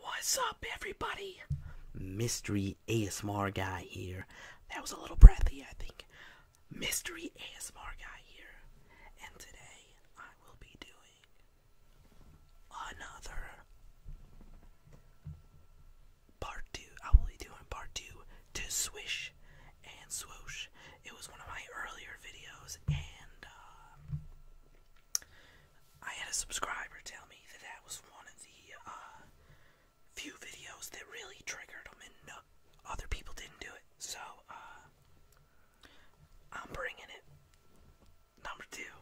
What's up, everybody? Mystery ASMR guy here. That was a little breathy, I think. Mystery ASMR guy here. And today I will be doing another part two. I will be doing part two to Swish and Swoosh. It was one of my earlier videos, and uh, I had a subscriber tell me that that was one of the uh, few videos that really triggered them, and other people didn't do it. So uh, I'm bringing it. Number two.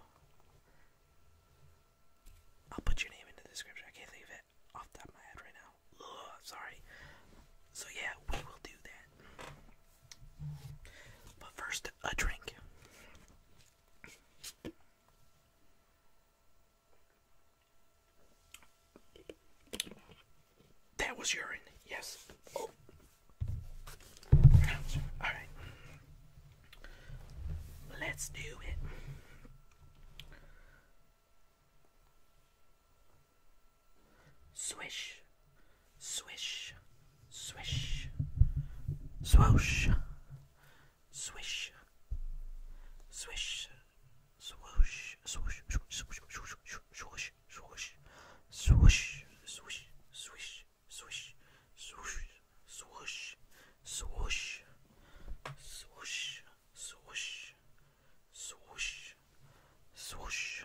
I'll put your name in the description. I can't think of it off the top of my head right now. sorry. So yeah, we will do that. But first, a drink. That was urine, yes. Oh. Alright. Let's do it. Swish, Swish, swish, swoosh, swish, swish, swoosh, swoosh, swoosh, swoosh, swoosh, swoosh, swoosh, swoosh, swish, swish, swoosh, swoosh, swoosh, swoosh, swoosh, swoosh, swoosh,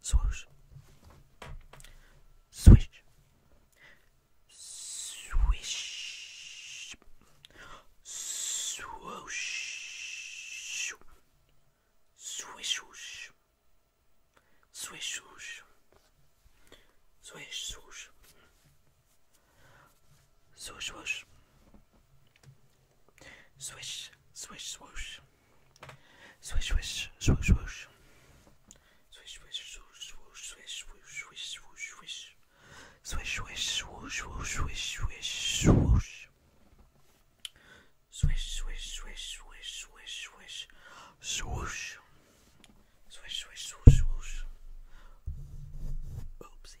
Swoosh. Swish. Swish. Swoosh. Swish whoosh. Swish whoosh. Swish swoosh. Swoosh whoosh. Swish, swish, swoosh. Swish, swish, swoosh, swoosh. Swish, swish, swoosh, swoosh, swish, swoosh, swish, swoosh, swish. Swish, swish, swoosh, swoosh, swish, swish, swoosh. Swish, swish, swish, swish, swish, swish, swoosh. Swish, swish, swoosh, swoosh. Oopsie.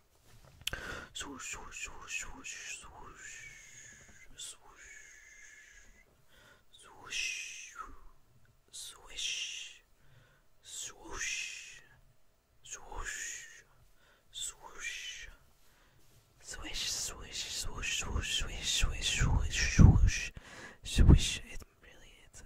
Swoosh, swoosh, swoosh, swoosh, swoosh, swoosh, swoosh, swish, swoosh, swoosh, swoosh, swish, swish, swoosh, swoosh, swish, swish, swish, swoosh, swish. It really, it's a,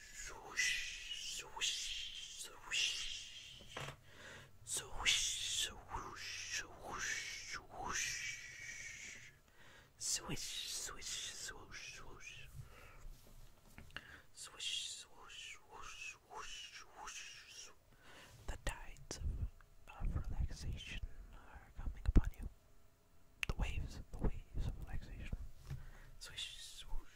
Swoosh, swoosh, swoosh. Swoosh, swoosh, swoosh, swoosh. Swish, swish, swoosh, swoosh. Swish, swoosh, swoosh, swoosh, swoosh. The tides of, of relaxation are coming upon you. The waves, the waves of relaxation. Swish, swoosh,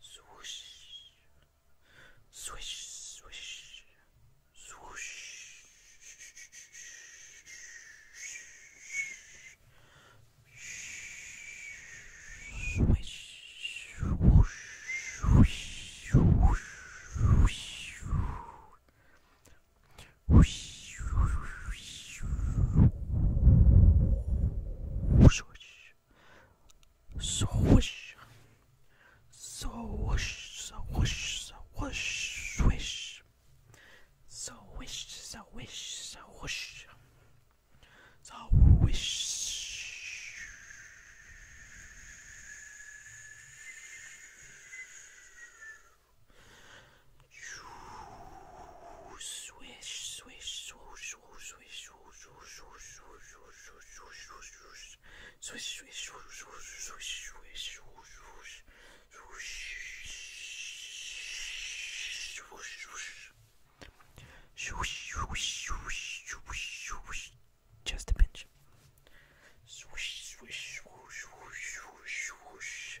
Swoosh. Swish, swish. Swish, swish, Swoosh. Swoosh. Swoosh. Swoosh. Swoosh. Swish. Swish. Swish. Swoosh. Swish. Swish, swish, swoosh, swoosh, swish, swoosh, swoosh, swoosh, swoosh, swoosh, swoosh, swoosh, swoosh, swish, swish, swoosh, swoosh, swish, swish, swoosh, swoosh, swoosh, swoosh, swoosh, swoosh, swoosh, swoosh, swoosh, just a pinch. Swish, swish, swoosh, swoosh, swoosh, swoosh,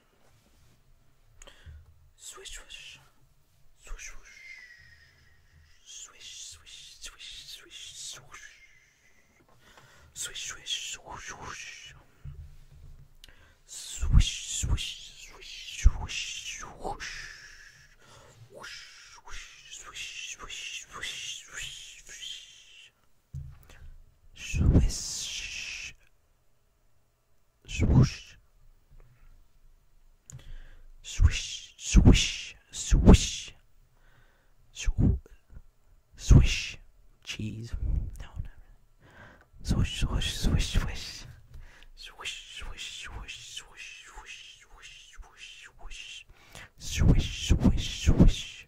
Swish, swish. Swish, swish. Swish, swish, swish, swish, swish. Swish, swish, swish, swish. Swish, swish, swish, swish, swish. Swish, swoosh, swish, swish, swish, Sw swish, cheese. No, no, swish, swish, swish, swish, swish, swish, swish, swish, swish, swish, swish, swish, swish, swish, swish.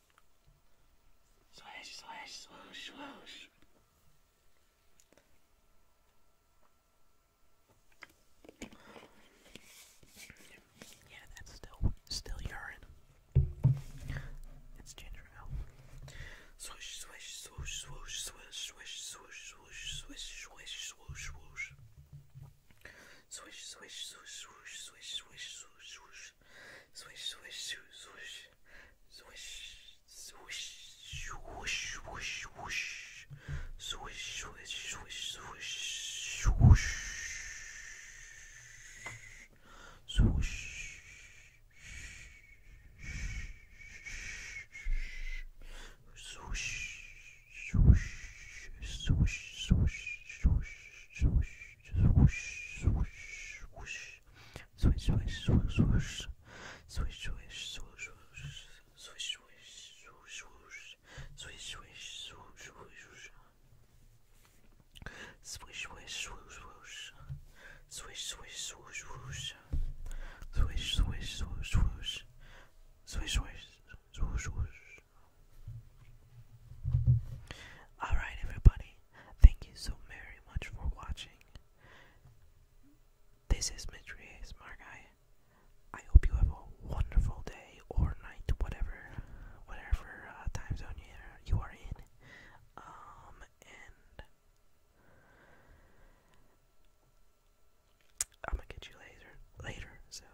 Swish, swish, swoosh, swoosh. Yeah, that's still still urine. It's ginger ale. Swish, swish, swoosh, swoosh, swish, swish, swoosh, swoosh, swish, swish, swoosh, swoosh. Swish, swish, swoosh, swoosh, swish, swish, swoosh, swoosh, swish, swish, swish, swish, swish, swish, whoosh, whoosh, whoosh, swish, swish, swish, swish, whoosh, swish. Swoosh, swoosh, swoosh, swoosh, swoosh, swoosh, swoosh, swoosh, swoosh swish, swish, swish, swish, swish, swish, swish, swish, swish, swish, swish, swish, Swish swish swoosh swoosh. Swish swish swoosh swoosh. Swish swish swoosh swoosh. Swish swish swoosh swoosh. Alright everybody. Thank you so very much for watching. This is Mitri Smart Guy. I hope you have a wonderful day or night, whatever, whatever uh, time zone you are, you are in. Um, and I'm gonna get you later, later. So,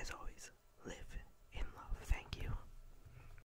as always, live in love. Thank you.